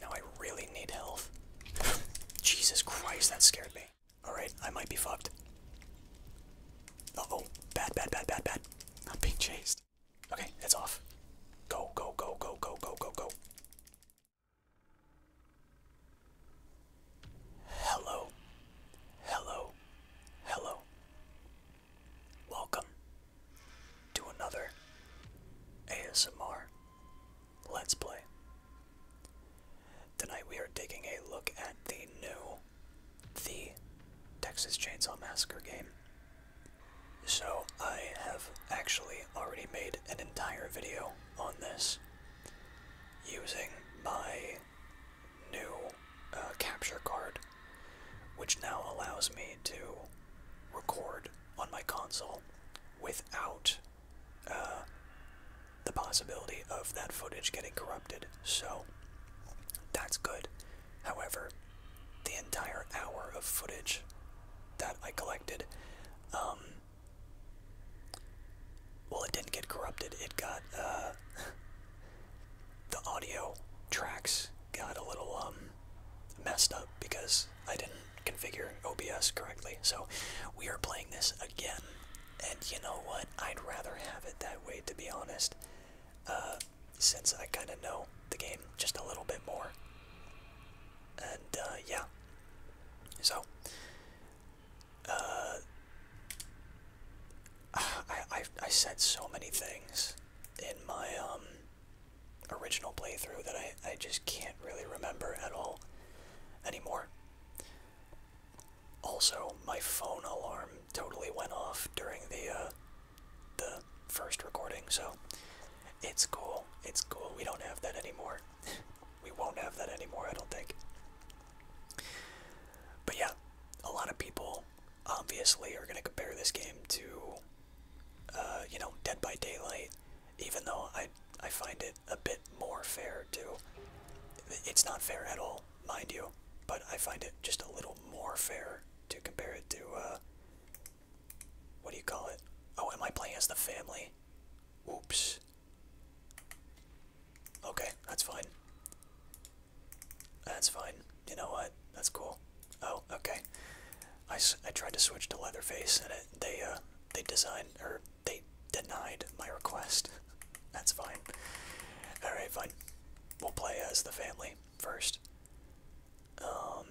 Now I really need health. Jesus Christ, that scared me. Alright, I might be fucked. Uh oh, bad, bad, bad, bad, bad. I'm being chased. Okay, it's off. Go, go, go, go, go, go, go, go. Hello. Hello. Hello. Welcome to another ASMR Let's Play. Tonight we are taking a look at the new The Texas Chainsaw Massacre game. So I have actually already made an entire video on this using my new uh, capture card, which now allows me to record on my console without uh, the possibility of that footage getting corrupted. So that's good. However, the entire hour of footage that I collected, um, well, it didn't get corrupted. It got uh, the audio tracks got a little um, messed up because I didn't configure OBS correctly. So we are playing this again. And you know what? I'd rather have it that way, to be honest. Uh, since I kind of know the game just a little bit more. And uh, yeah. So. Uh, I, I, I said so many things in my um, original playthrough that I, I just can't really remember at all anymore. Also, my phone alarm totally went off during the uh, the first recording, so it's cool. It's cool. We don't have that anymore. we won't have that anymore, I don't think. But yeah, a lot of people obviously are going to compare this game to, uh, you know, Dead by Daylight even though I I find it a bit more fair to it's not fair at all, mind you, but I find it just a little more fair to compare it to uh, what do you call it? Oh, am I playing as the family? Oops. Okay, that's fine. That's fine. You know what? That's cool. Oh, okay. I, I tried to switch to Leatherface, and they uh, they designed or they denied my request. That's fine. All right, fine. We'll play as the family first. Um,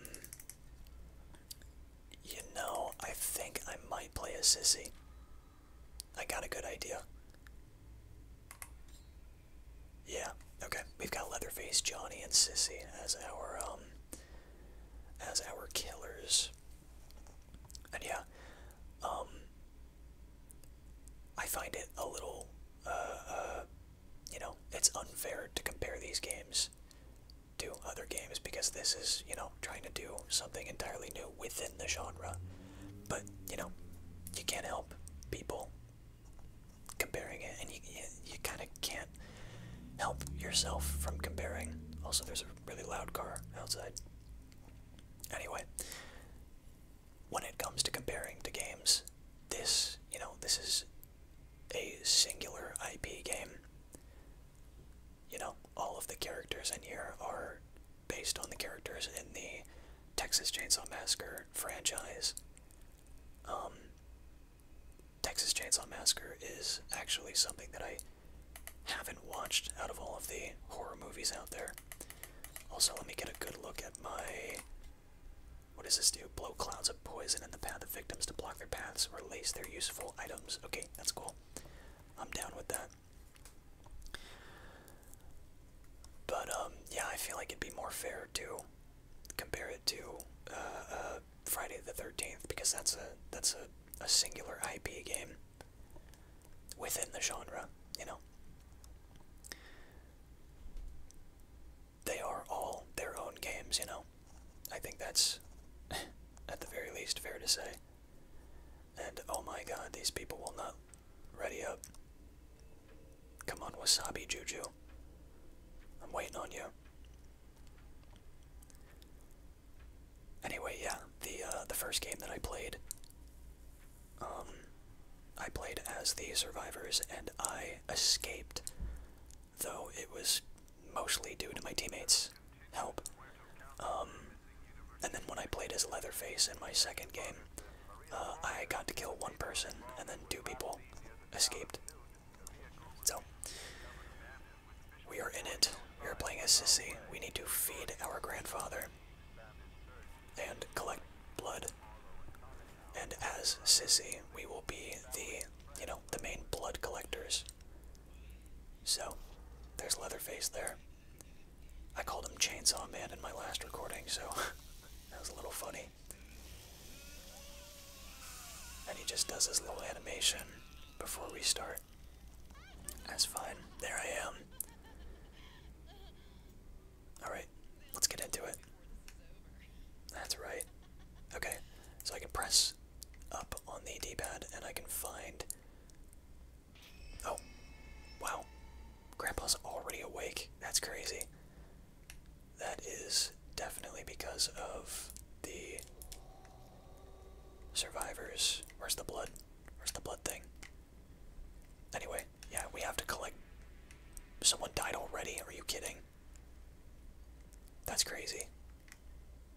you know, I think I might play a Sissy. I got a good idea. Yeah. Okay. We've got Leatherface, Johnny, and Sissy as our um as our killers. And yeah, um, I find it a little, uh, uh, you know, it's unfair to compare these games to other games because this is, you know, trying to do something entirely new within the genre. But, you know, you can't help people comparing it, and you, you, you kind of can't help yourself from comparing. Also, there's a really loud car outside. Anyway, when it comes to comparing to games, this, you know, this is a singular IP game. You know, all of the characters in here are based on the characters in the Texas Chainsaw Massacre franchise. Um, Texas Chainsaw Massacre is actually something that I haven't watched out of all of the horror movies out there. Also, let me get a good look at my. What does this do? Blow clouds of poison in the path of victims to block their paths, or lace their useful items. Okay, that's cool. I'm down with that. But um, yeah, I feel like it'd be more fair to compare it to uh, uh, Friday the 13th because that's a that's a, a singular IP game within the genre, you know. They are all their own games, you know. I think that's at the very least fair to say. And oh my god, these people will not ready up. Come on, Wasabi Juju. I'm waiting on you. Anyway, yeah, the uh, the first game that I played, um, I played as the survivors, and I escaped, though it was mostly due to my teammates' help. Um, and then when I played as Leatherface in my second game, uh, I got to kill one person, and then two people escaped. So, we are in it. We are playing as Sissy. We need to feed our grandfather and collect blood. And as Sissy, we will be the, you know, the main blood collectors. So, there's Leatherface there. I called him Chainsaw Man in my last recording, so that was a little funny. And he just does his little animation before we start. That's fine. There I am. Alright, let's get into it. That's right. Okay, so I can press up on the D-pad and I can find... Oh, wow. Grandpa's already awake. That's crazy that is definitely because of the survivors. Where's the blood? Where's the blood thing? Anyway, yeah, we have to collect. Someone died already? Are you kidding? That's crazy.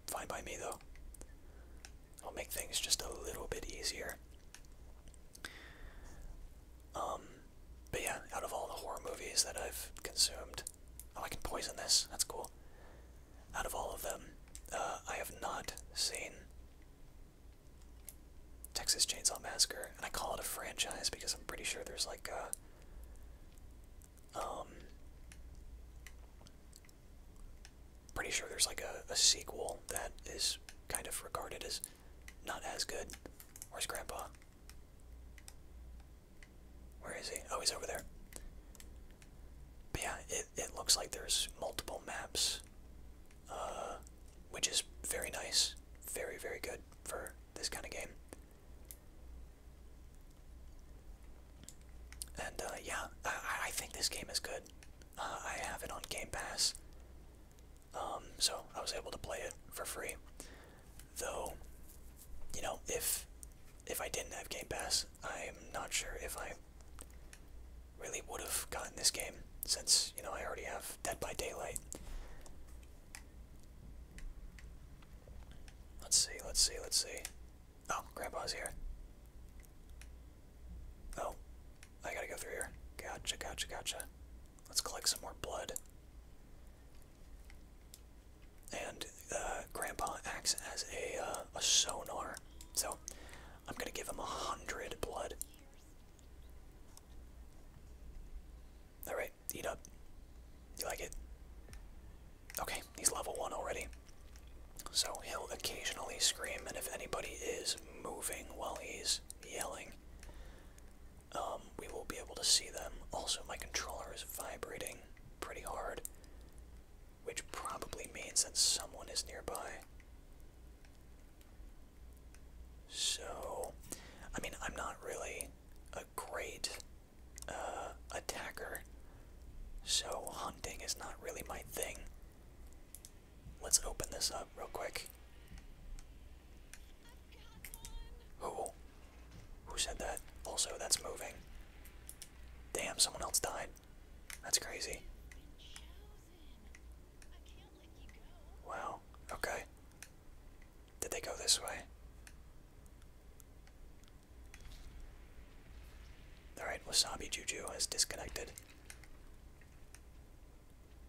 Fine by me, though. I'll make things just a little bit easier. Um, but yeah, out of all the horror movies that I've consumed, Oh, I can poison this. That's cool. Out of all of them, uh, I have not seen Texas Chainsaw Massacre, and I call it a franchise because I'm pretty sure there's like a, uh, um, pretty sure there's like a, sequel that is kind of regarded as not as good. as Grandpa? Where is he? Oh, he's over there. But yeah, it, it looks like there's multiple maps, uh, which is very nice. Very, very good for this kind of game. And uh, yeah, I, I think this game is good. Uh, I have it on Game Pass, um, so I was able to play it for free. Though, you know, if if I didn't have Game Pass, I'm not sure if I really would have gotten this game since, you know, I already have Dead by Daylight. Let's see, let's see, let's see. Oh, Grandpa's here. Oh, I gotta go through here. Gotcha, gotcha, gotcha. Let's collect some more blood. And uh, Grandpa acts as uh, a, sonar, so I'm gonna give him a hundred blood. Alright, eat up. You like it? Okay, he's level one already. So he'll occasionally scream, and if anybody is moving while he's yelling, um, we will be able to see them. Also, my controller is vibrating pretty hard, which probably means that someone is nearby. So, I mean, I'm not really a great uh, attacker, so hunting is not really my thing. Let's open this up real quick. Oh, who said that? Also, that's moving. Damn, someone else died. That's crazy. Wow, okay. Did they go this way? Alright, Wasabi Juju has disconnected.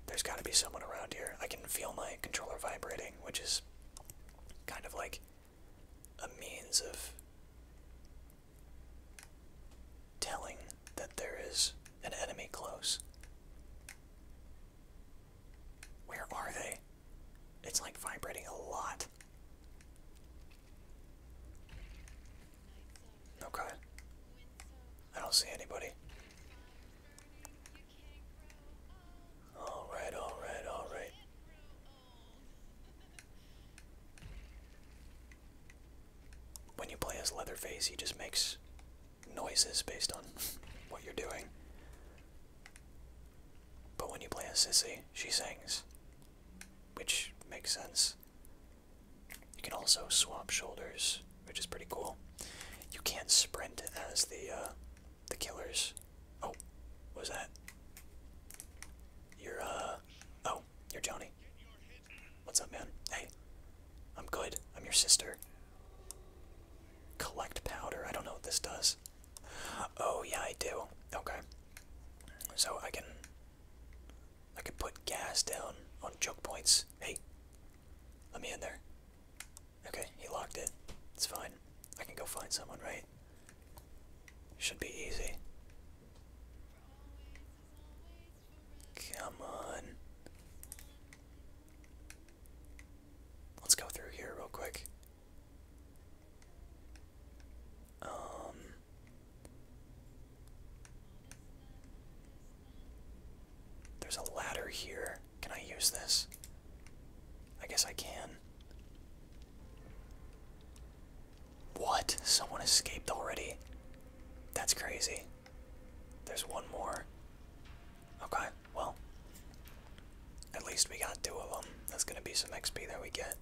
There's gotta be someone around here. I can feel my controller vibrating, which is kind of like a means of telling that there is an enemy close. Where are they? It's like vibrating a lot. Okay. I don't see anybody. Alright, alright, alright. When you play as Leatherface, he just makes noises based on what you're doing. But when you play as Sissy, she sings, which makes sense. You can also swap shoulders, which is pretty cool. You can't sprint as the uh, the killers. Oh, what was that? You're, uh, oh, you're Johnny. What's up, man? Hey, I'm good. I'm your sister. Collect powder. I don't know what this does. Oh, yeah, I do. Okay. So I can, I can put gas down on choke points. Hey, let me in there. Okay, he locked it. It's fine. I can go find someone, right? Should be easy. Come on. Let's go through here real quick. Um There's a ladder here. Can I use this? I guess I can. What? Someone escaped already? That's crazy. There's one more. Okay, well. At least we got two of them. That's gonna be some XP that we get.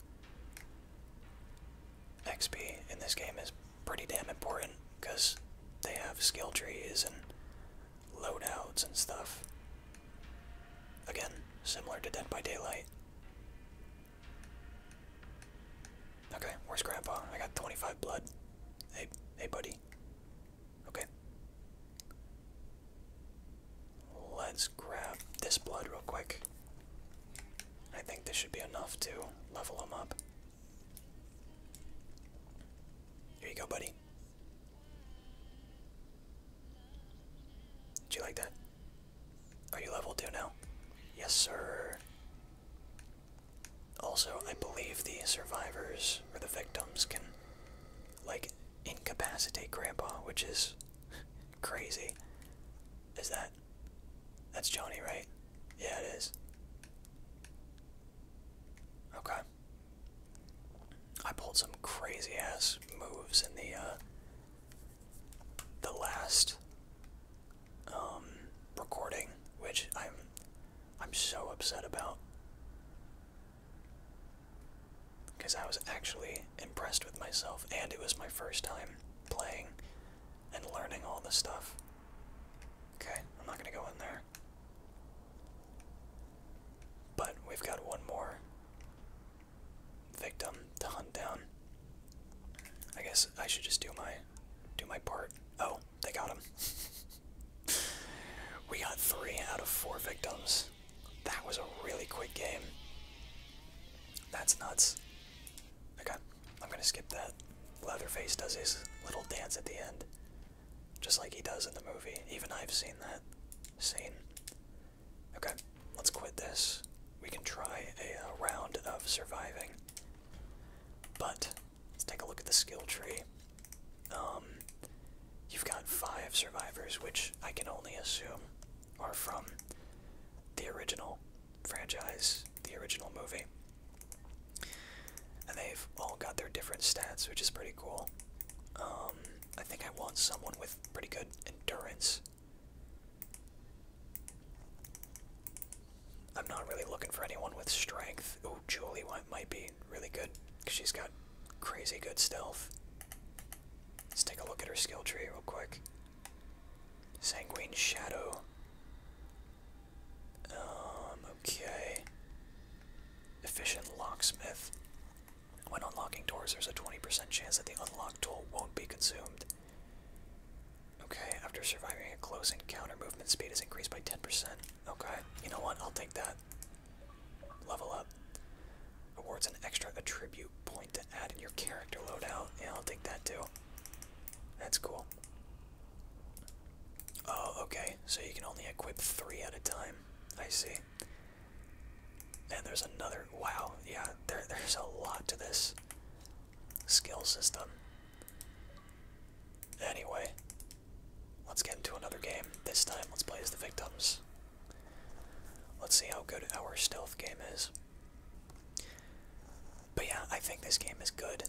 XP in this game is pretty damn important because they have skill trees and loadouts and stuff. Again, similar to Dead by Daylight. Okay, where's Grandpa? I got 25 blood. Hey, hey, buddy. Okay. Let's grab this blood real quick. I think this should be enough to level him up. Here you go, buddy. Do you like that? Are you level 2 now? Yes, sir. Also, I believe the survivors or the victims can, like, incapacitate Grandpa, which is crazy. Is that. That's Johnny, right? Yeah, it is. Okay. I pulled some crazy ass moves in the uh, the last um, recording, which I'm I'm so upset about because I was actually impressed with myself, and it was my first time playing and learning all this stuff. Okay, I'm not gonna go in there. But we've got one more victim to hunt down. I guess I should just do my do my part. Oh, they got him. we got three out of four victims. That was a really quick game. That's nuts. Okay, I'm gonna skip that. Leatherface does his little dance at the end. Just like he does in the movie. Even I've seen that scene. Okay, let's quit this. We can try a, uh, round of surviving. But let's take a look at the skill tree. Um, you've got five survivors, which I can only assume are from the original franchise, the original movie. And they've all got their different stats, which is pretty cool. Um, I think I want someone with pretty good endurance. I'm not really looking for anyone with strength. Ooh, Julie might be really good because she's got crazy good stealth. Let's take a look at her skill tree real quick. Sanguine Shadow. Um, okay. Efficient Locksmith. When unlocking doors, there's a 20% chance that the unlocked tool won't be consumed. Okay, after surviving a close counter movement speed is increased by 10%. Okay, you know what? I'll take that. Level up. Awards an extra attribute point to add in your character loadout. Yeah, I'll take that too. That's cool. Oh, okay, so you can only equip three at a time. I see. And there's another. Wow, yeah, there, there's a lot to this skill system. Anyway, let's get into another game. This time, let's play as the victims. Let's see how good our stealth game is. But yeah, I think this game is good,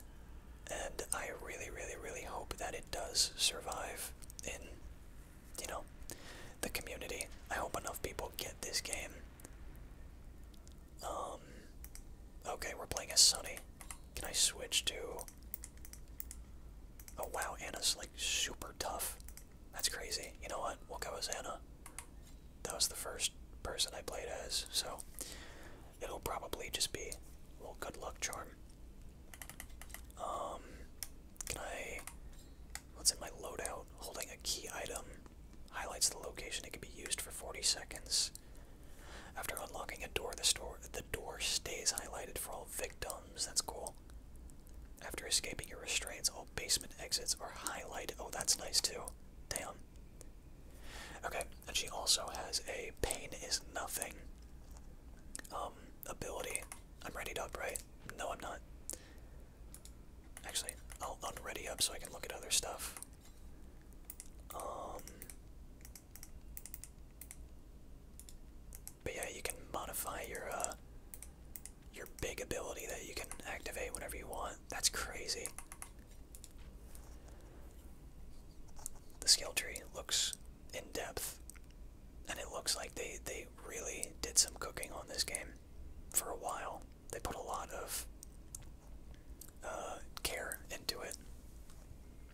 and I really, really, really hope that it does survive in you know, the community. I hope enough people get this game. Um, okay, we're playing as Sunny. Can I switch to? Oh wow, Anna's like super tough. That's crazy. You know what? We'll go as Anna. That was the first person I played as, so it'll probably just be a little good luck charm. Um, can I let in my loadout. Holding a key item highlights the location it can be used for 40 seconds. After unlocking a door, the, store, the door stays highlighted for all victims. That's cool. After escaping your restraints, all basement exits are highlighted. Oh, that's nice too. Damn. Okay, and she also has a pain is nothing um, ability. I'm ready to operate. No, I'm not. Actually, I'll unready up so I can look at other stuff. Um, but yeah, you can modify your uh, your big ability that you can activate whenever you want. That's crazy. The skill tree looks in depth and it looks like they they really did some cooking on this game for a while. They put a lot of uh, care into it,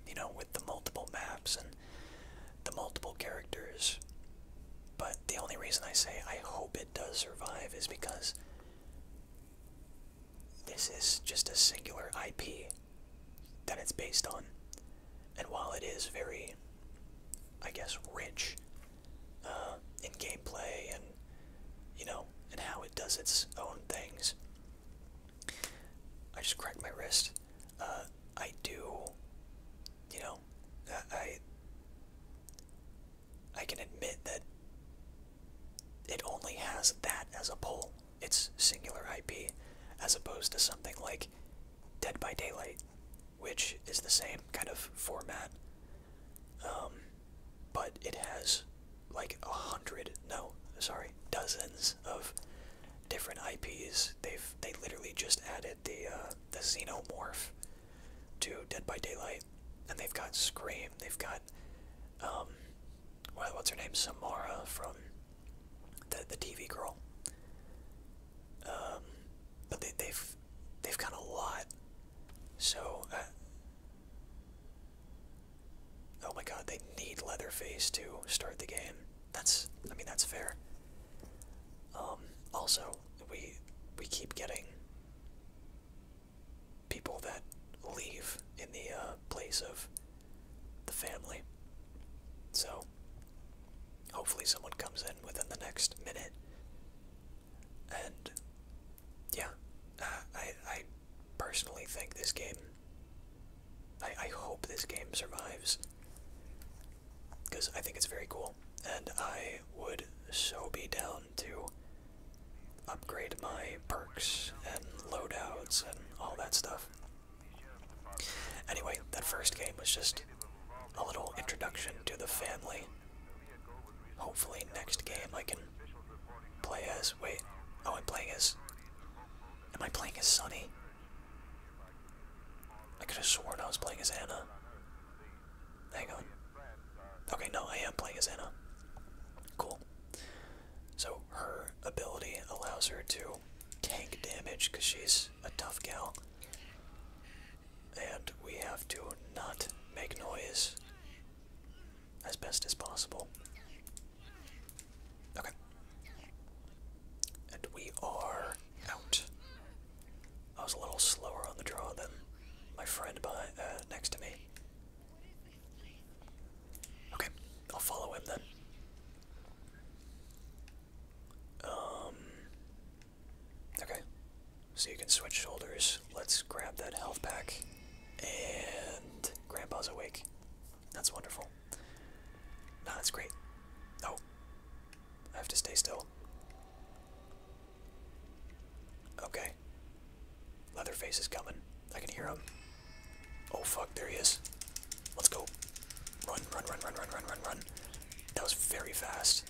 you know, with the multiple maps and the multiple characters. But the only reason I say I hope it does survive is because this is just a singular IP that it's based on. And while it is very, I guess, rich uh, in gameplay and, you know, and how it does its own things, I just cracked my wrist. Uh, I do, you know, I, I can admit that it only has that as a pull, its singular IP, as opposed to something like Dead by Daylight, which is the same kind of format, um, but it has like a hundred, no, sorry, dozens of different IPs. They've they literally just added the uh, the Xenomorph to Dead by Daylight, and they've got Scream. They've got um, what, what's her name, Samara from the the TV girl. Um, but they, they've they've got a lot. So, uh, oh my God, they need Leatherface to start the game. That's I mean that's fair. Um, also, we we keep getting people that leave in the uh, place of the family. So Hopefully, someone comes in within the next minute. And yeah, uh, I I personally think this game. I I hope this game survives because I think it's very cool, and I would so be down to upgrade my perks and loadouts and all that stuff. Anyway, that first game was just a little introduction to the family. Hopefully, next game I can play as. Wait, oh, I'm playing as. Am I playing as Sunny? I could have sworn I was playing as Anna. Hang on. Okay, no, I am playing as Anna. Cool. So her ability allows her to take damage because she's a tough gal. And we have to not make noise as best as possible. Okay. And we are out. I was a little slower on the draw than my friend by, uh, next to me. Okay, I'll follow him then. Um, Okay. So you can switch shoulders. Let's grab that health pack. And Grandpa's awake. That's wonderful. that's great. No. I have to stay still. Okay. Leatherface is coming. I can hear him. Oh fuck, there he is. Let's go. Run, run, run, run, run, run, run, run. That was very fast.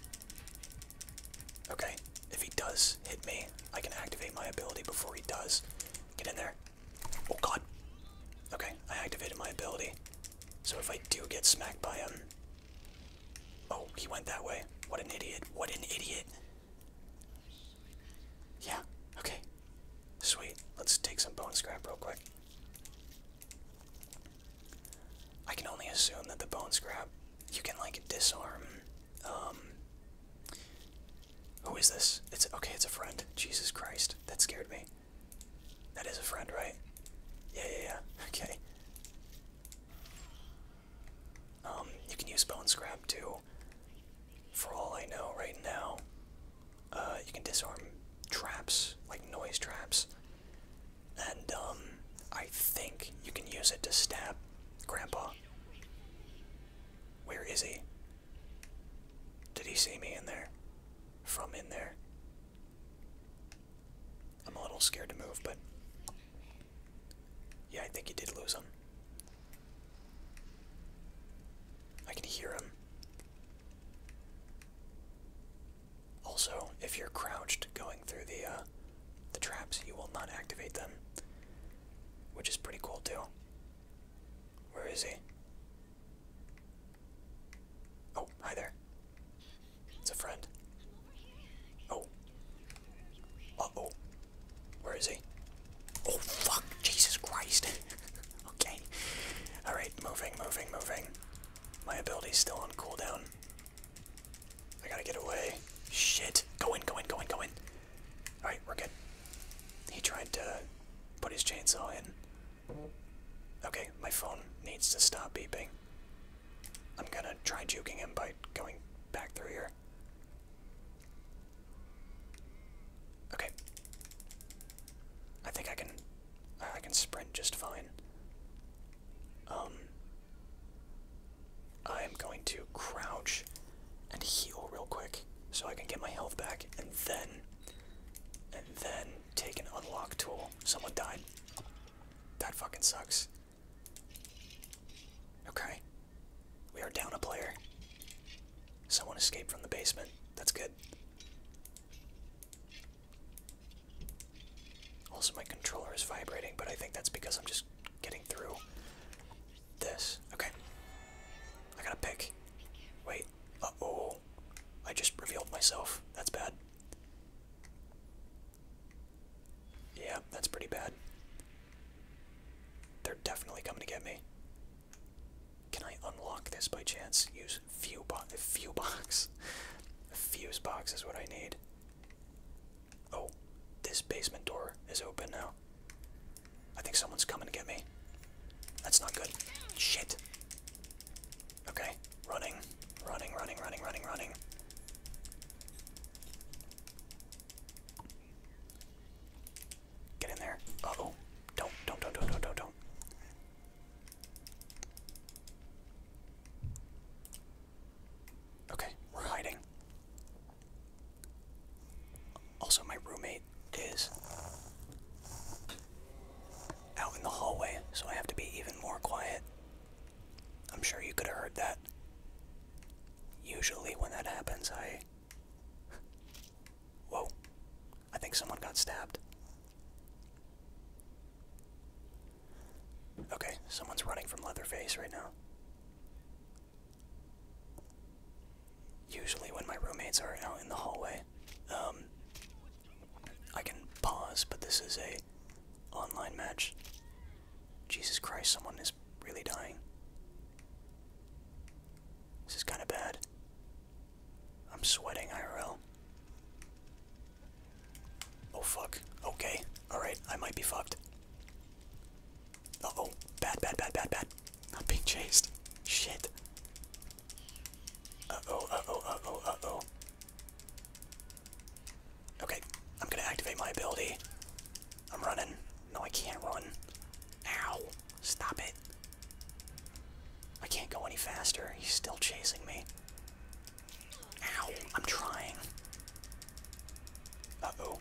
Okay, if he does hit me, I can activate my ability before he does. Get in there. Oh god. Okay, I activated my ability. So if I do get smacked by him. Oh, he went that way. What an idiot. What an idiot. Yeah, okay. Sweet. Let's take some bone scrap real quick. I can only assume that the bone scrap you can like disarm um who is this? It's okay, it's a friend. Jesus Christ, that scared me. That is a friend, right? Yeah, yeah, yeah. Okay. Um, you can use bone scrap too. For all I know right now. Uh you can disarm traps, like noise traps and um, I think you can use it to stab Grandpa. Where is he? Did he see me in there? From in there? I'm a little scared to move, but. Yeah, I think he did lose him. I can hear him. Also, if you're crouched going through the uh, the traps, you will not activate them, which is pretty cool too. Where is he? Oh, hi there. It's a friend. Oh. Uh oh. Where is he? Oh fuck! Jesus Christ! okay. Alright, moving, moving, moving. My ability's still on cooldown. I gotta get away. Shit. Go in, go in, go in, go in. Alright, we're good. He tried to put his chainsaw in. Okay, my phone needs to stop beeping. I'm gonna try juking him by going back through here. Okay. I think I can I can sprint just fine. Um, I'm going to crouch and heal real quick so I can get my health back and then and then take an unlock tool. Someone died. That fucking sucks. Okay. We are down a player. Someone escaped from the basement. That's good. Also, my controller is vibrating, but I think that's because I'm just getting through this. Okay. I gotta pick. Wait. Uh oh. I just revealed myself. That's bad. Yeah, that's pretty bad. They're definitely coming to get me. Can I unlock this by chance? You fuse box Fuse box fuse box is what I need. Oh, this basement door is open now. I think someone's coming to get me. That's not good. Shit. Okay, running, running, running, running, running, running. Get in there. oh. Don't, don't, don't, don't, don't, don't, don't. Okay, we're hiding. Also, my roommate is out in the hallway, so I have to be even more quiet. I'm sure you could have heard that. Usually, when that happens, I. Whoa. I think someone got stabbed. Okay, someone's running from Leatherface right now. Usually, when my roommates are out in the hallway, um, I can pause, but this is a online match. Jesus Christ, someone is really dying. This is kind of bad. I'm sweating IRL. Oh fuck. Okay. Alright, I might be fucked. Uh oh. Bad, bad, bad, bad, bad. Not being chased. Shit. Uh oh, uh oh, uh oh, uh oh. Okay, I'm gonna activate my ability. I'm running. No, I can't run. Ow. Stop it. I can't go any faster. He's still chasing me. Ow, I'm trying. Uh-oh.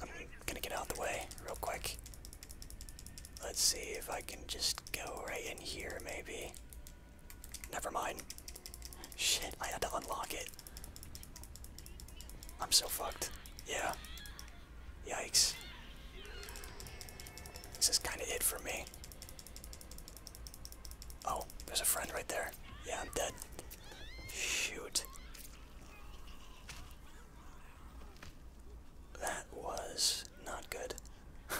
I'm gonna get out the way real quick. Let's see if I can just go right in here, maybe. Never mind. Shit, I had to unlock it. I'm so fucked. Yeah. Yikes. This is kinda it for me. Oh, there's a friend right there. Yeah, I'm dead. Shoot. That was not good.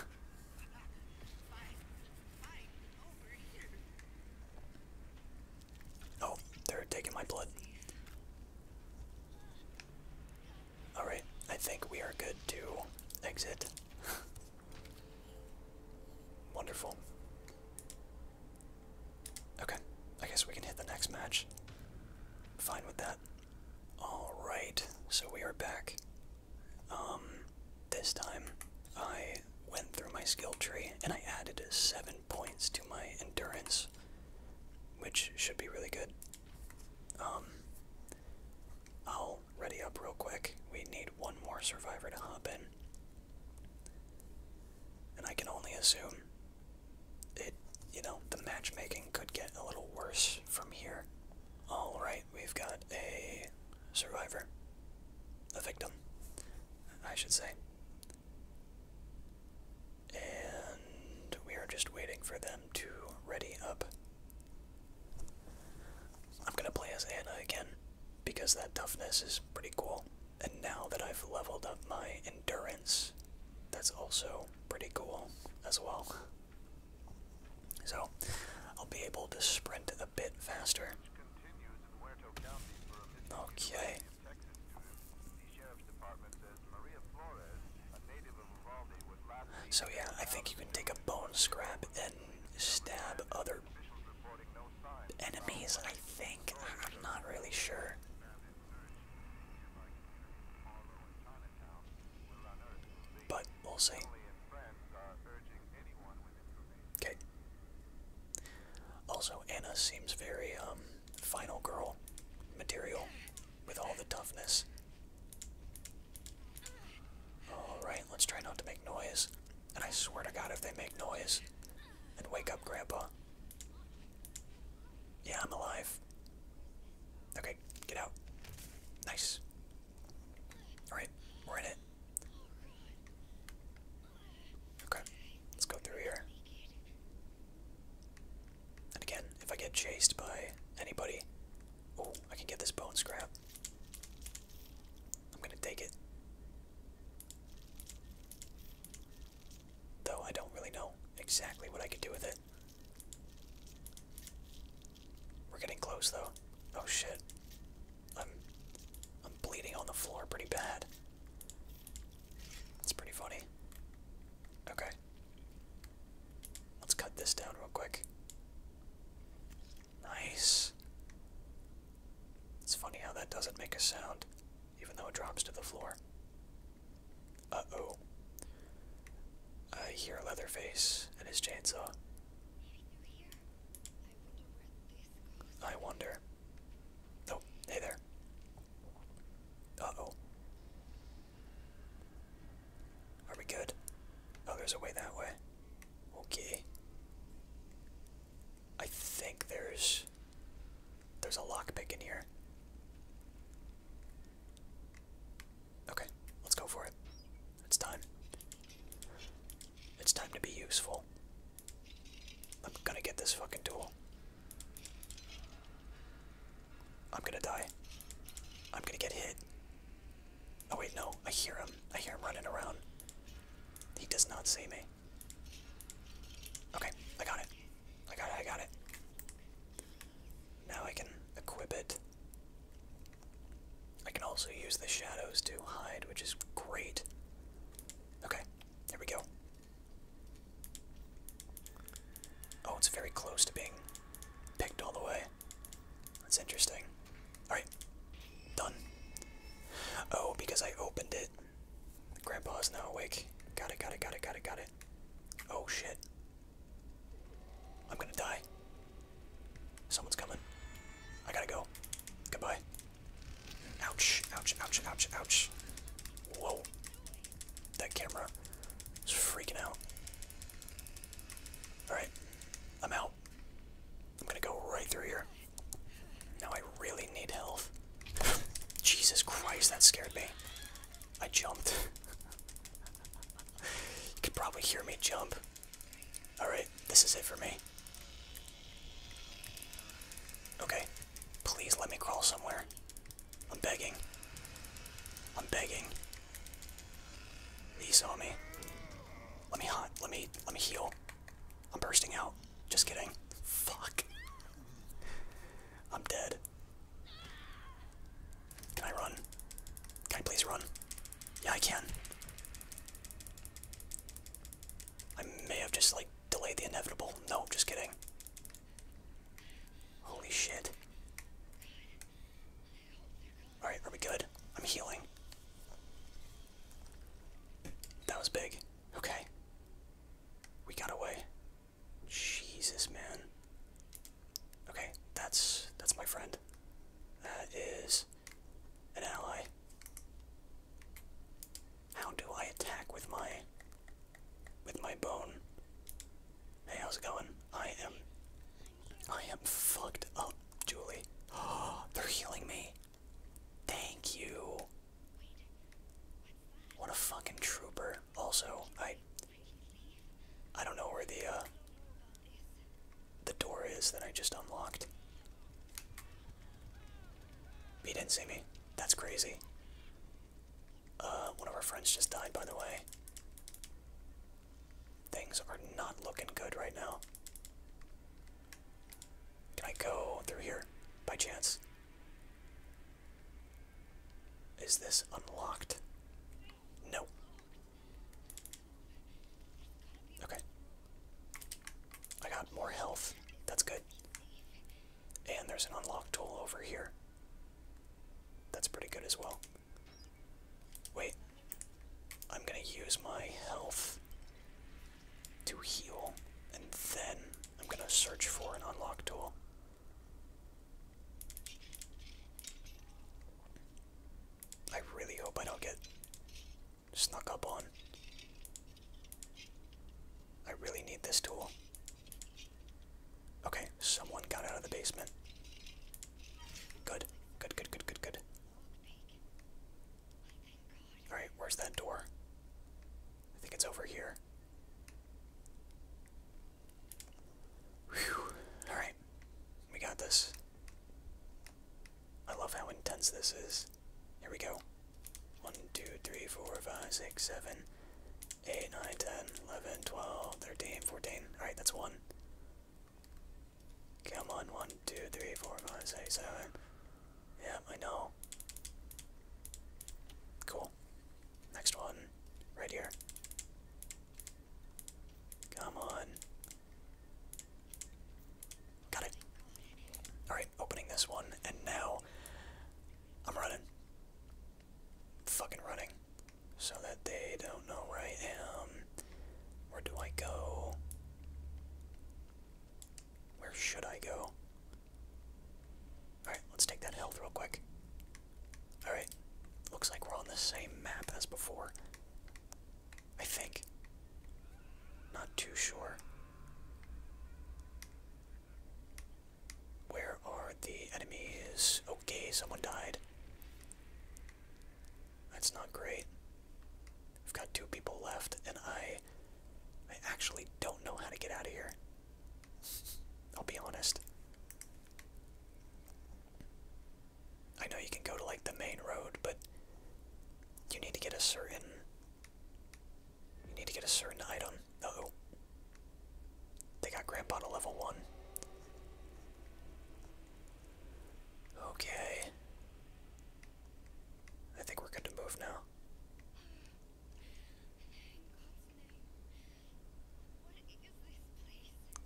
oh, they're taking my blood. Alright, I think we are good to exit. Wonderful. Okay, I guess we can hit the next match. Fine with that. Alright, so we are back. Um, this time I went through my skill tree and I added 7 points to my endurance, which should be really good. Um, I'll ready up real quick. We need one more survivor to hop in. And I can only assume it, you know, the matchmaking could get a little worse from here. Alright, we've got a survivor. A victim, I should say. And we are just waiting for them to ready up. I'm gonna play as Anna again because that toughness is pretty cool. And now that I've leveled up my endurance, that's also pretty cool as well. So I'll be able to sprint a bit faster. Okay. So yeah, I think you can take a bone scrap and stab other enemies, I think. I'm not really sure. But we'll see. Okay. Also, Anna seems very um final girl material with all the toughness. Alright, let's try not to make noise. And I swear to god if they make noise and wake up grandpa. Yeah, I'm alive. Okay, get out. Nice. Alright, we're in it. Okay, let's go through here. And again, if I get chased by anybody, oh, I can get this bone scrap. I'm gonna take it. Though I don't really know exactly what I could do with it. We're getting close though. Oh shit. I'm I'm bleeding on the floor pretty bad. It's pretty funny. Okay. Let's cut this down real quick. Nice. It's funny how that doesn't make a sound, even though it drops to the floor. Uh oh. I hear Leatherface and his chainsaw. I wonder. Oh, hey there. Uh oh. Are we good? Oh, there's a way that way. Okay. I think there's there's a lockpick in here. Okay, let's go for it. It's time. It's time to be useful. I'm gonna get this fucking tool. I'm gonna die. I'm gonna get hit. Oh wait, no, I hear him. I hear him running around. He does not see me. Okay, I got it. I got it, I got it. Now I can equip it. I can also use the shadows to hide, which is great. Okay, there we go. Oh, it's very close to being picked all the way. That's interesting. Alright. Done. Oh, because I opened it. Grandpa is now awake. Got it, got it, got it, got it, got it. Oh shit. I'm gonna die. Someone's coming. I gotta go. Goodbye. Ouch, ouch, ouch, ouch, ouch. Whoa. That camera is freaking out. Alright, I'm out. I'm gonna go right through here. Now I really need health. Jesus Christ, that scared me. I jumped. you could probably hear me jump. Alright, this is it for me. Okay, please let me crawl somewhere. I'm begging. I'm begging. He saw me. Let me hunt. Let me let me heal. I'm bursting out. Just kidding. Fuck. I'm dead. Can I run? Can I please run? Yeah, I can. I may have just like delayed the inevitable. No, just kidding. Holy shit. Alright, are we good? I'm healing. That was big. Okay. We got away. Jesus, man. Okay, that's that's my friend. That is an ally. How do I attack with my with my bone? Hey, how's it going? I am I am fucked up, Julie. they're healing me. Thank you. What a fucking trooper. Also, I I don't know where the uh the door is that I just unlocked. He didn't see me. That's crazy. Uh, one of our friends just died, by the way. Things are not looking good right now. Can I go through here by chance? Is this unlocked? No. Okay. I got more health. That's good. And there's an unlock tool over here. That's pretty good as well. Wait. I'm gonna use my health to heal, and then I'm gonna search for an unlock tool. I really hope I don't get snuck up on. I really need this tool. Okay, someone got out of the basement. Good, good, good, good, good, good. Alright, where's that door? I think it's over here. Alright, we got this. I love how intense this is. Here we go. 1, 2, 3, 4, 5, 6, 7, 8, 9, 10, 11, 12, 13, 14. Alright, that's 1. Come on, one, two, three, four, five, six, seven. Yeah, I know. Cool. Next one. Right here. Come on. Got it. Alright, opening this one, and now I'm running. Fucking running so that they don't know where I am. Where do I go? Where should I go? Alright, let's take that health real quick. Alright, looks like we're on the same map as before. I think. Not too sure. Where are the enemies? Okay, someone died. That's not great. we have got two people left, and I I actually don't know how to get out of here. I'll be honest. I know you can go to like the main road, but you need to get a certain you need to get a certain item. oh. They got Grandpa to level one. Okay. I think we're good to move now.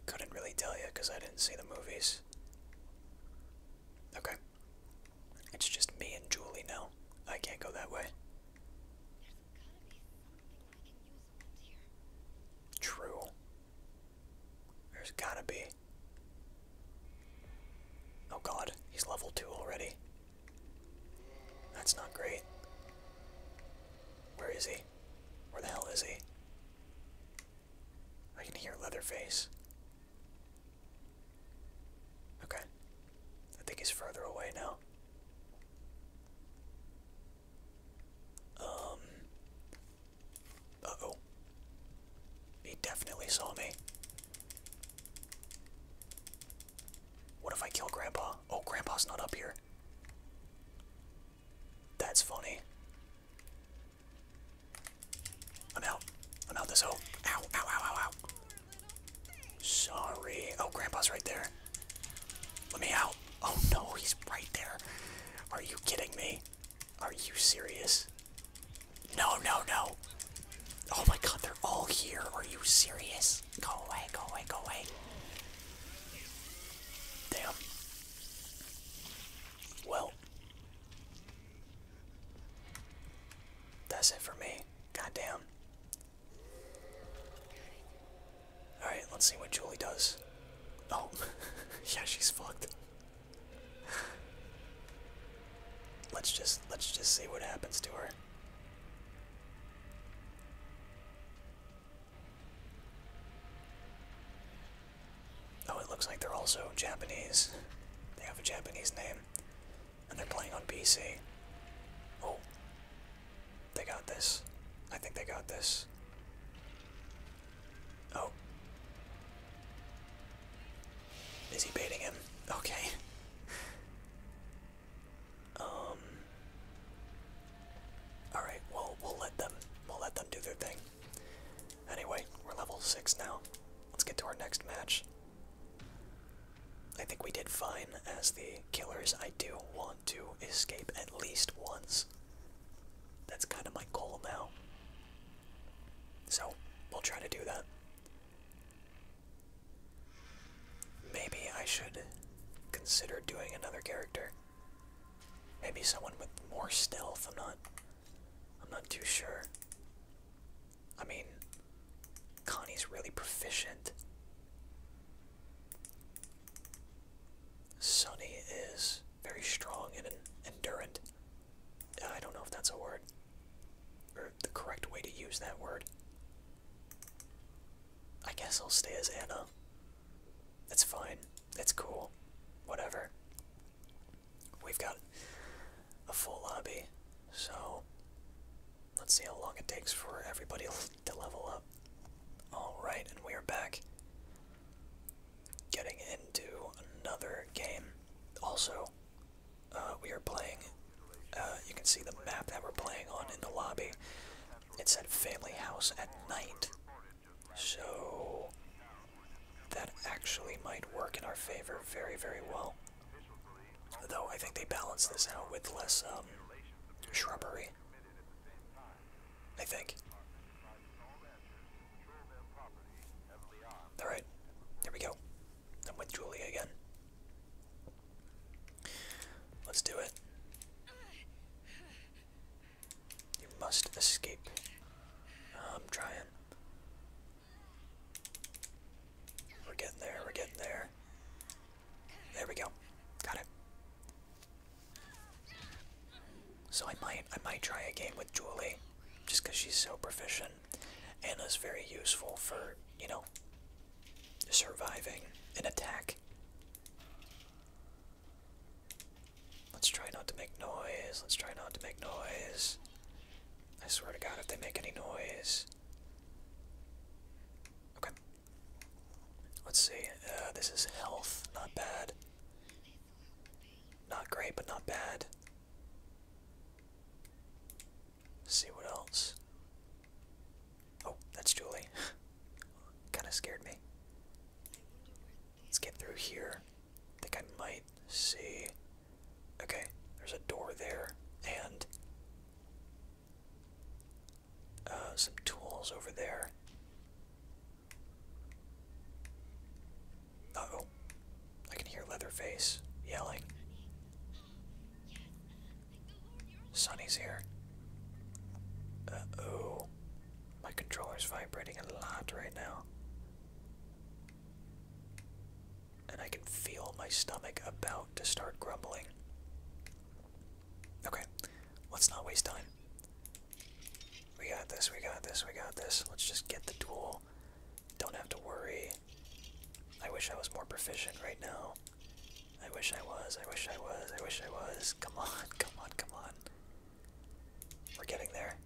Couldn't really tell you because I didn't see the movies. Okay. It's just me and Julie now. I can't go that way. True. There's gotta be. Oh god, he's level 2 already. That's not great. Where is he? Where the hell is he? I can hear Leatherface. Okay. I think he's further away now. Um, uh-oh. He definitely saw me. What if I kill Grandpa? Oh, Grandpa's not up here. That's funny. I'm out. I'm out this hole. Ow, ow, ow, ow, ow. Sorry. Oh, Grandpa's right there. Let me out. Oh no, he's right there. Are you kidding me? Are you serious? No, no, no. Oh my god, they're all here. Are you serious? Go away, go away, go away. Damn. Well. That's it for me. Goddamn. Alright, let's see what Julie does. Oh, yeah, she's fucked let's just let's just see what happens to her. Oh, it looks like they're also Japanese. They have a Japanese name. And they're playing on PC. Oh. They got this. I think they got this. Oh. Is he baiting him? Okay. um. Alright, well, we'll let them. We'll let them do their thing. Anyway, we're level 6 now. Let's get to our next match. I think we did fine as the killers. I do want to escape at least once. That's kind of my goal now. So, we'll try to do that. Maybe I should consider doing another character. Maybe someone with more stealth. I'm not I'm not too sure. I mean, Connie's really proficient. Sunny is very strong and endurant. I don't know if that's a word or the correct way to use that word. I guess I'll stay as Anna. That's fine. That's cool. Whatever. We've got a full lobby, so let's see how long it takes for everybody to level up. Alright, and we are back getting into another game. Also, uh, we are playing. Uh, you can see the map that we're playing on in the lobby. It said Family House at night. So, that actually might work in our favor very, very well. Though I think they balance this out with less um, shrubbery. I think. Alright, there we go. I'm with Julia again. Let's do it. You must escape. I'm trying. We're getting there, we're getting there. There we go. Got it. So I might I might try a game with Julie, just because she's so proficient. Anna's very useful for you know surviving an attack. Let's try not to make noise. Let's try not to make noise. I swear to God, if they make any noise. Okay. Let's see. Uh, this is health. Not bad. Not great, but not bad. see what else. Oh, that's Julie. kind of scared me. Let's get through here. I think I might see. Okay, there's a door there, and uh, some tools over there oh. I can hear Leatherface yelling. Sonny's here. Uh oh. My controller's vibrating a lot right now. And I can feel my stomach about to start grumbling. Okay, let's not waste time. We got this, we got this, we got this. Let's just get the duel. Don't have to worry. I wish I was more proficient right now. I wish I was, I wish I was, I wish I was. Come on, come on, come on. We're getting there.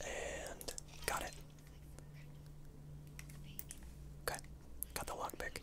And got it. Okay, got the lockpick.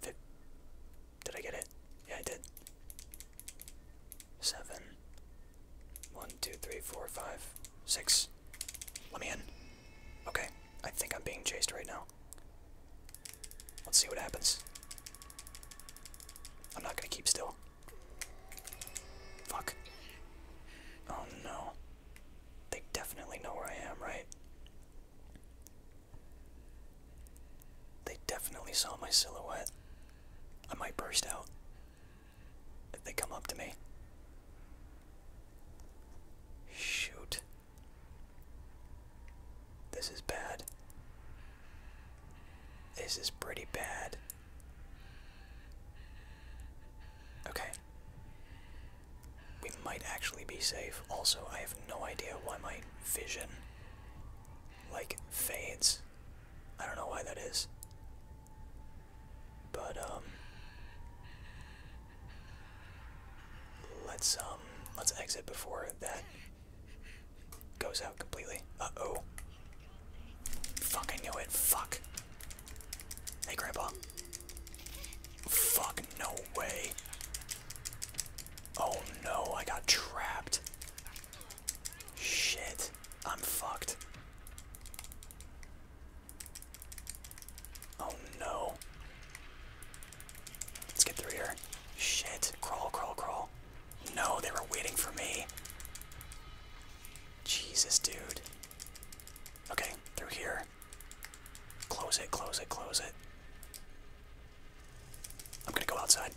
Did I get it? Yeah, I did. Seven. One, two, three, four, five, six. Let me in. Okay, I think I'm being chased right now. Let's see what happens. I'm not gonna keep still. Fuck. Oh no. They definitely know where I am, right? They definitely saw my silhouette. I might burst out if they come up to me. Shoot. This is bad. This is pretty bad. Okay we might actually be safe. Also, I have no idea why my vision like fades. I don't know why that is. But um let's um let's exit before that goes out completely. Uh-oh. Fuck I knew it. Fuck. Hey grandpa. Fuck no way. Oh no, I got trapped. Shit, I'm fucked. Oh no. Let's get through here. Shit, crawl, crawl, crawl. No, they were waiting for me. Jesus, dude. Okay, through here. Close it, close it, close it. I'm gonna go outside.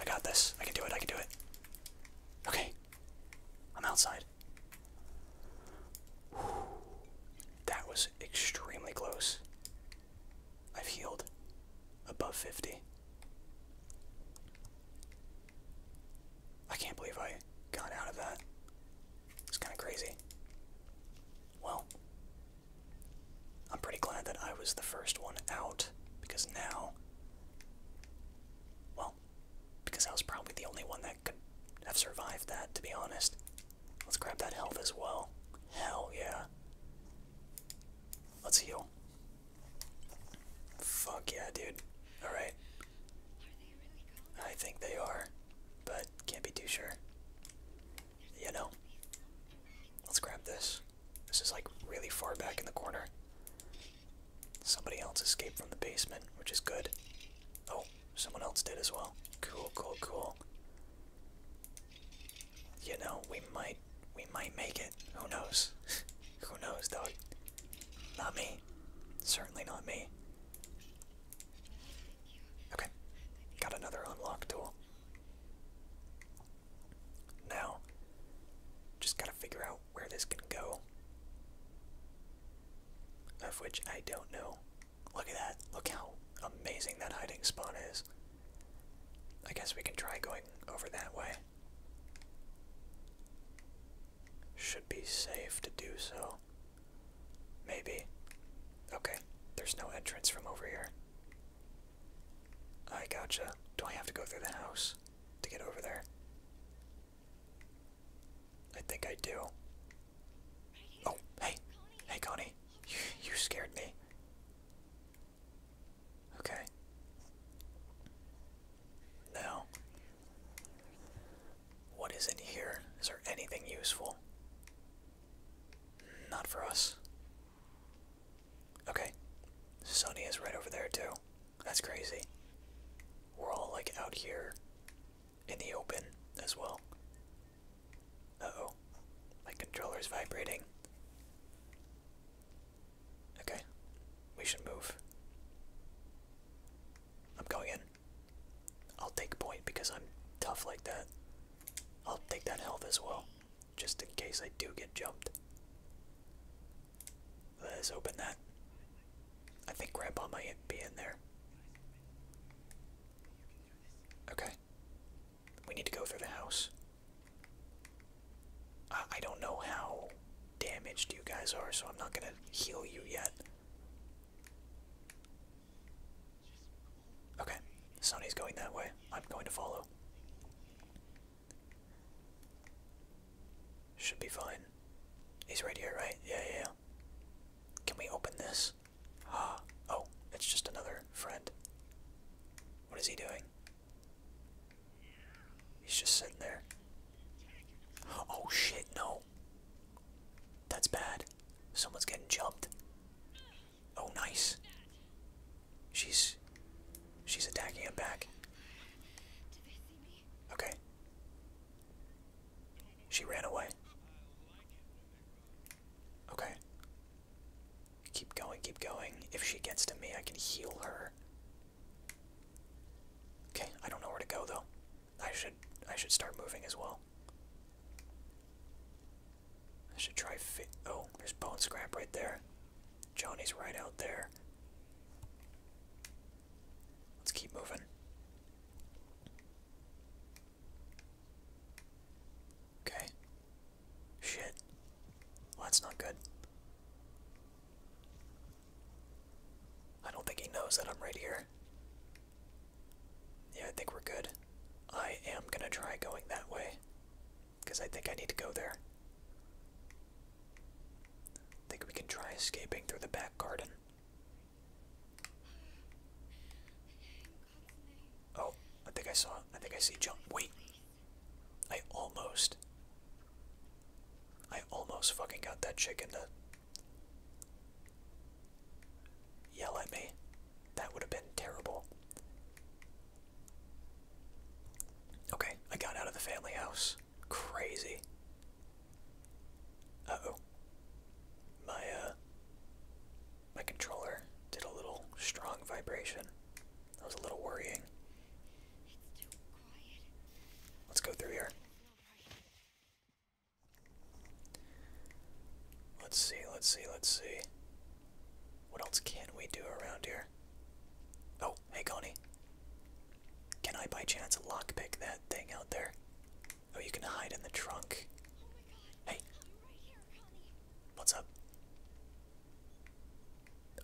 I got this. I can do it, I can do it. Okay. I'm outside. That was extremely close. I've healed above 50. I can't believe I got out of that. It's kind of crazy. Well, I'm pretty glad that I was the first one out because now, well, because I was probably the only one that could have survived that, to be honest. Let's grab that health as well. Hell yeah. Let's heal. Fuck yeah, dude. Alright. I think they are, but can't be too sure you know. Let's grab this. This is like really far back in the corner. Somebody else escaped from the basement, which is good. Oh, someone else did as well. Cool, cool, cool. You know, we might we might make it. Who knows? Who knows, though? Not me. Certainly not me. Okay, got another unlock tool. Now, just gotta figure out where this can go. Of which I don't know. Look at that. Look how amazing that hiding spot is. I guess we can try going over that way. Should be safe to do so. Maybe. Okay, there's no entrance from over here. I gotcha. Do I have to go through the house to get over there? I think I do. Oh, hey. Hey, Connie. You, scared me. Okay. Now, what is in here? Is there anything useful? Not for us. Okay. Sunny is right over there too. That's crazy. We're all like out here in the open as well. oh My controller's vibrating. Okay. We should move. I'm going in. I'll take point because I'm tough like that. I'll take that health as well, just in case I do get jumped. Let's open that. I think Grandpa might be in there. Okay. We need to go through the house. I, I don't know how damaged you guys are, so I'm not gonna heal you yet. Okay, Sonny's going that way. I'm going to follow. Should be fine. He's right here, right? Yeah, yeah, yeah. Can we open this? Ah, oh, it's just another friend. What is he doing? He's just sitting there. Oh shit, no. That's bad. Someone's getting jumped. Oh, nice. She's she's attacking him back. Okay. She ran away. Okay. Keep going, keep going. If she gets to me, I can heal her. Okay, I don't know where to go though. I should I should start moving as well. I should try fit. Oh, there's Bone Scrap right there. Johnny's right out there. Let's keep moving. Okay. Shit. that's not good. I don't think he knows that I'm right here. Yeah, I think we're good. I am gonna try going that way. Because I think I need to go there. I think we can try escaping through the back garden. Oh, I think I saw. I think I see John. Wait. I almost. I almost fucking got that chicken to yell at me. That would have been terrible. Okay, I got out of the family house. Crazy. Uh-oh. My, uh, my controller did a little strong vibration. That was a little worrying. Let's go through here. Let's see, let's see, let's see. What else can we do around here? Oh, hey Connie. Can I by chance lockpick that thing out there? Oh, you can hide in the trunk. Hey. What's up?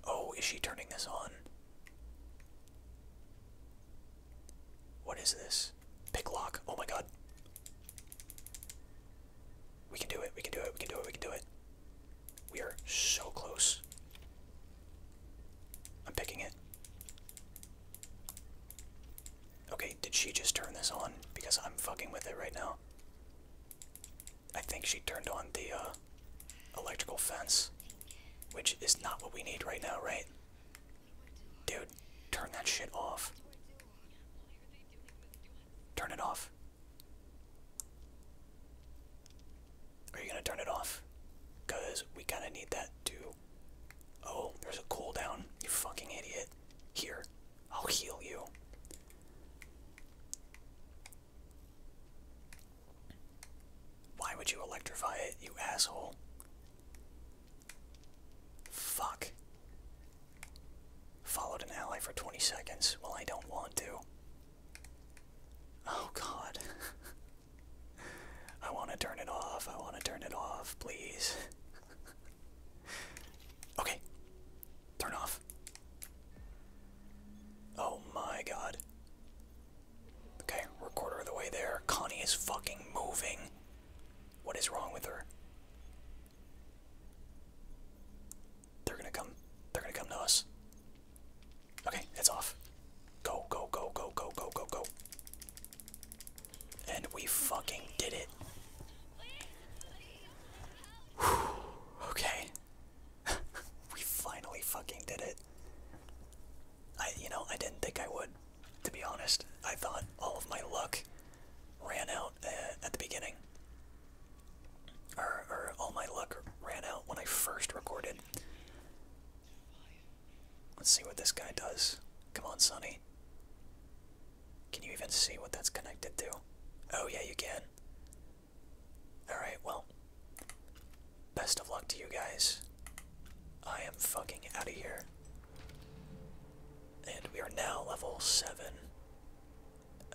Oh, is she turning this on? What is this? Pick lock. Oh my god. We can do it. We can do it. We can do it. We can do it. We are so close. I'm picking it. Okay, did she just turn this on? Because I'm fucking with it right now. I think she turned on the uh, electrical fence, which is not what we need right now, right? Dude, turn that shit off. Turn it off. Are you gonna turn it off? Cause we kinda need that too. Oh, there's a cooldown, you fucking idiot. Here, I'll heal you. Why would you electrify it, you asshole? Fuck. Followed an ally for 20 seconds. Well, I don't want to. Oh god. I want to turn it off. I want to turn it off, please. okay. Turn off. Oh my god. Okay, we're a quarter of the way there. Connie is fucking moving. What is wrong with her? They're gonna come. They're gonna come to us. Okay, it's off. Go, go, go, go, go, go, go, go. And we fucking did it. okay. we finally fucking did it. I, you know, I didn't think I would to be honest. I thought all of my luck ran out uh, at the beginning. Or, or all my luck ran out when I first recorded. Let's see what this guy does. Come on, Sonny. Can you even see what that's connected to? Oh, yeah, you can. Alright, well. Best of luck to you guys. I am fucking out of here. And we are now level 7.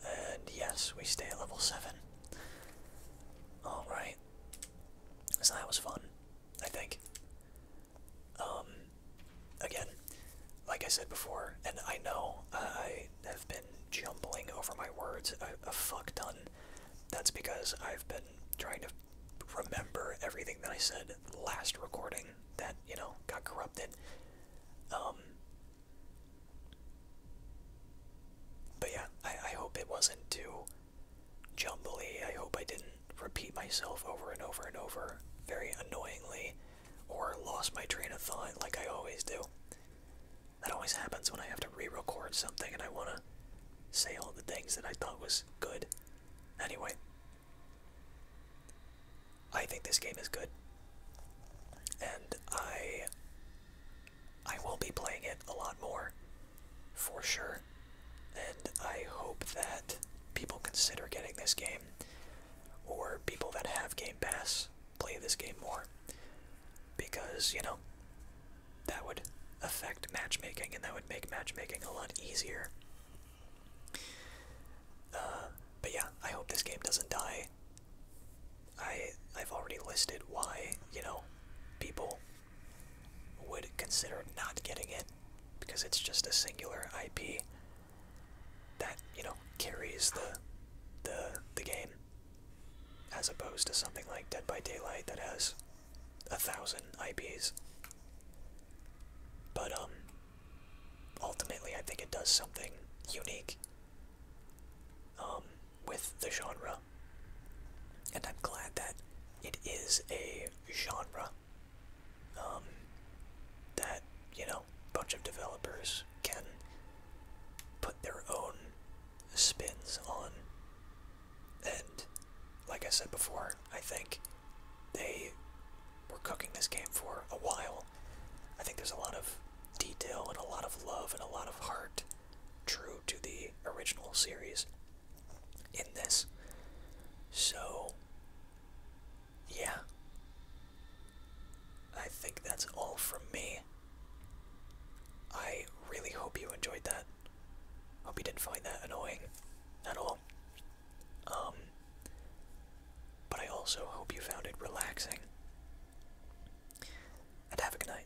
And yes, we stay at level 7. Alright. So that was fun, I think. Um, again, like I said before, and I know I have been jumbling over my words a, fuck ton. That's because I've been trying to remember everything that I said last recording that you know got corrupted. Um, but yeah, I, I hope it wasn't too jumbly. I hope I didn't repeat myself over and over and over very annoyingly or lost my train of thought like I always do. That always happens when I have to re-record something and I want to say all the things that I thought was good. Anyway, I think this game is good. And I I will be playing it a lot more for sure. And I hope that people consider getting this game or people that have Game Pass play this game more because, you know, that would affect matchmaking and that would make matchmaking a lot easier uh, but yeah, I hope this game doesn't die. I I've already listed why you know people would consider not getting it because it's just a singular IP that you know carries the the the game as opposed to something like Dead by Daylight that has a thousand IPs. But um, ultimately I think it does something unique um, with the genre. And I'm glad that it is a genre um, that, you know, a bunch of developers can put their own spins on. And like I said before, I think they were cooking this game for a while. I think there's a lot of detail and a lot of love and a lot of heart true to the original series in this. So, yeah. I think that's all from me. I really hope you enjoyed that. Hope you didn't find that annoying at all. Um, but I also hope you found it relaxing. And have a good night.